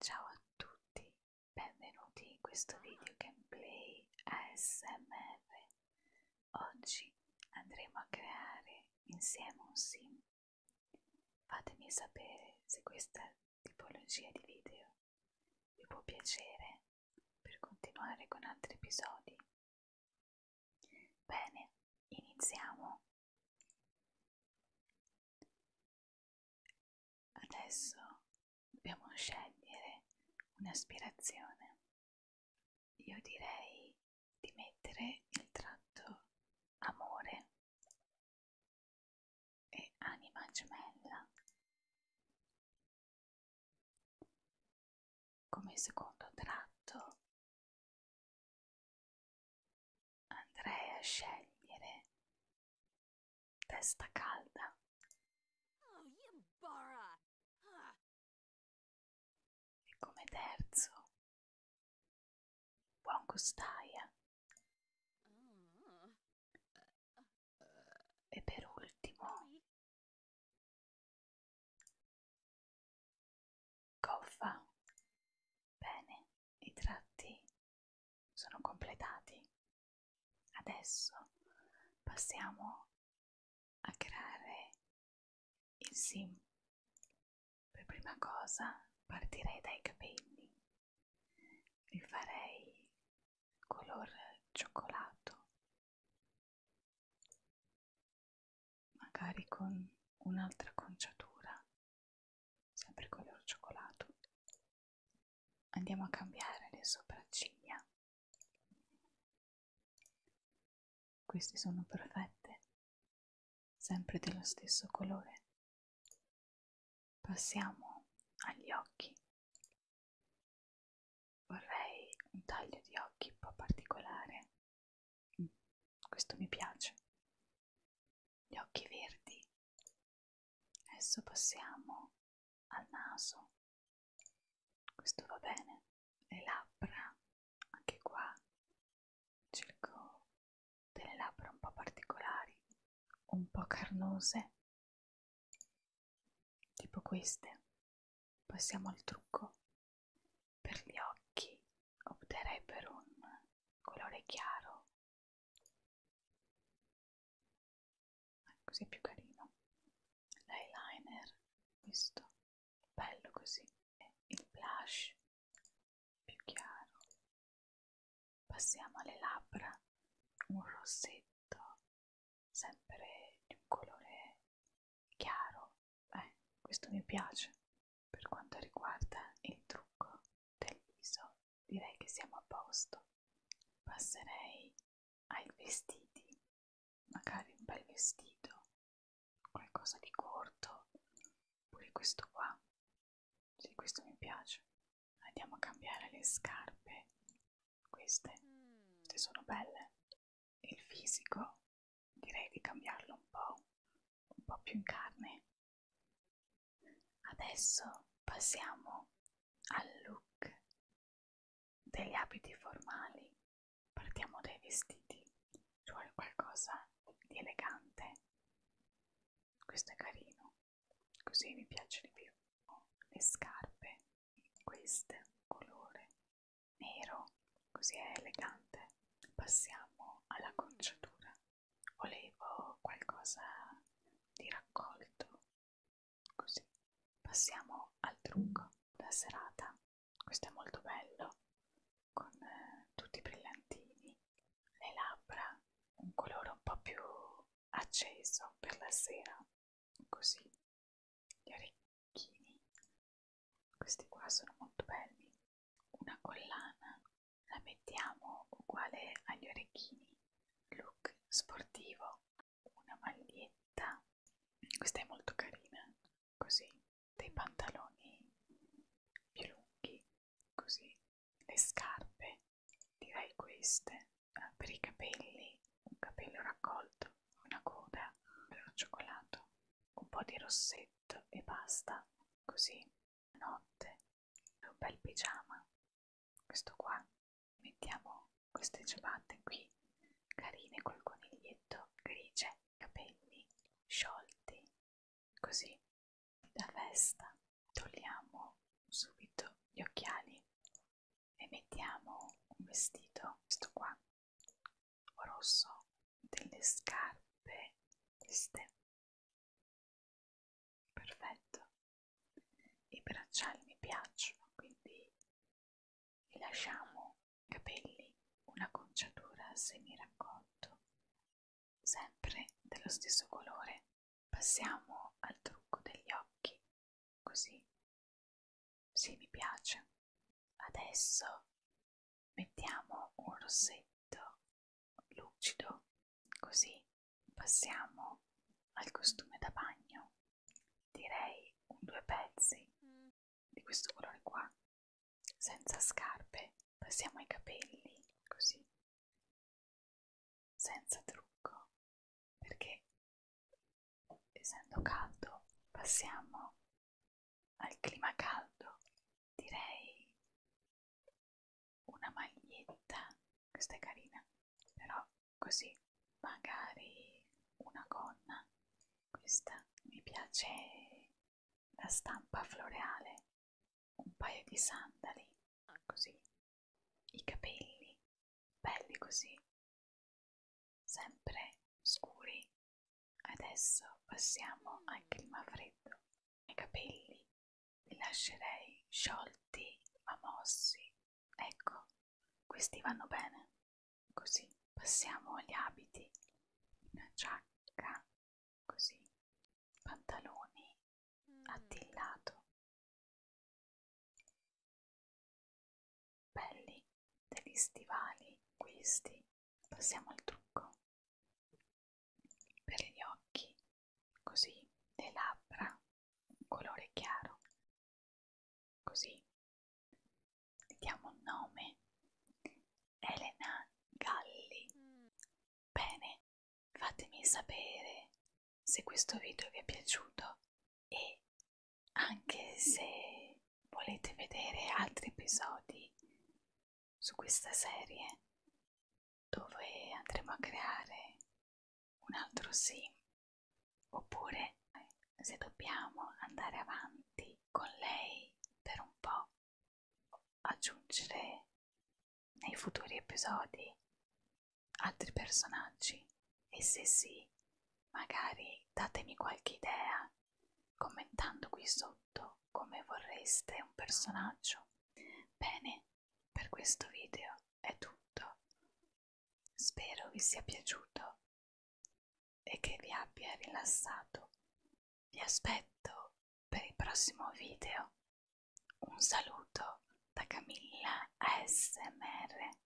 Ciao a tutti, benvenuti in questo video gameplay ASMR. Oggi andremo a creare insieme un sim. Fatemi sapere se questa tipologia di video vi può piacere per continuare con altri episodi. Bene, iniziamo. Adesso dobbiamo scegliere un'aspirazione. Io direi di mettere il tratto amore e anima gemella come secondo tratto andrei a scegliere testa calda oh, ah. e come terzo buon costaia mm. e per ultimo Coffa. Bene, i tratti sono completati. Adesso passiamo a creare il sim. Per prima cosa partirei dai capelli. Li farei color cioccolato magari con un'altra conciatura, sempre color cioccolato. Andiamo a cambiare le sopracciglia. Queste sono perfette, sempre dello stesso colore. Passiamo agli occhi. Vorrei un taglio di occhi un po' particolare questo mi piace. Gli occhi verdi. Adesso passiamo al naso. Questo va bene. Le labbra, anche qua cerco delle labbra un po' particolari, un po' carnose, tipo queste. Passiamo al trucco. Per gli occhi opterei per un colore chiaro, ah, così è più carino. L'eyeliner, questo, bello così, e il blush più chiaro. Passiamo alle labbra, un rossetto sempre di un colore chiaro eh, questo mi piace per quanto riguarda il trucco del viso direi che siamo a posto passerei ai vestiti magari un bel vestito qualcosa di corto pure questo qua sì questo mi piace andiamo a cambiare le scarpe queste, queste sono belle il fisico direi di cambiarlo un po', un po' più in carne. Adesso passiamo al look degli abiti formali, partiamo dai vestiti, ci vuole qualcosa di elegante, questo è carino, così mi piace di più, le scarpe, queste colore nero, così è elegante. Passiamo alla conciatura. Volevo qualcosa di raccolto, così. Passiamo al trucco da serata. Questo è molto bello, con eh, tutti i brillantini, le labbra, un colore un po' più acceso per la sera, così. Gli orecchi orecchini questi qua sono molto belli una collana la mettiamo uguale agli orecchini look sportivo una maglietta questa è molto carina così dei pantaloni più lunghi così le scarpe direi queste eh, per i capelli un capello raccolto una coda per un cioccolato un po' di rossetto letto e basta, così, la notte, un bel pigiama, questo qua, mettiamo queste ciabatte qui, carine col coniglietto grigie, capelli sciolti, così, da festa, togliamo subito gli occhiali e mettiamo un vestito, questo qua, rosso delle scarpe queste perfetto i bracciali mi piacciono quindi vi lasciamo capelli una conciatura semi raccolto sempre dello stesso colore passiamo al trucco degli occhi così sì, mi piace. Adesso mettiamo un rossetto lucido, così passiamo al costume da bagno. Direi un due pezzi di questo colore qua, senza scarpe. Passiamo ai capelli, così, senza trucco, perché essendo caldo passiamo al clima caldo direi una maglietta questa è carina però così magari una gonna questa mi piace la stampa floreale un paio di sandali così i capelli belli così sempre scuri. Adesso passiamo al clima freddo. I capelli li lascerei sciolti ma mossi. Ecco, questi vanno bene. Così passiamo agli abiti. Una giacca, così, pantaloni mm. attillato. Belli degli stivali questi. Passiamo al trucco. Per gli occhi, così, le labbra, un colore chiaro. Così. Le diamo un nome. Elena Galli. Bene, fatemi sapere se questo video vi è piaciuto e anche se volete vedere altri episodi su questa serie dove andremo a creare un altro sim oppure eh, se dobbiamo andare avanti con lei per un po' aggiungere nei futuri episodi altri personaggi e se sì, magari datemi qualche idea commentando qui sotto come vorreste un personaggio. Bene, per questo video è tutto. Spero vi sia piaciuto e che vi abbia rilassato. Vi aspetto per il prossimo video. Un saluto da Camilla ASMR.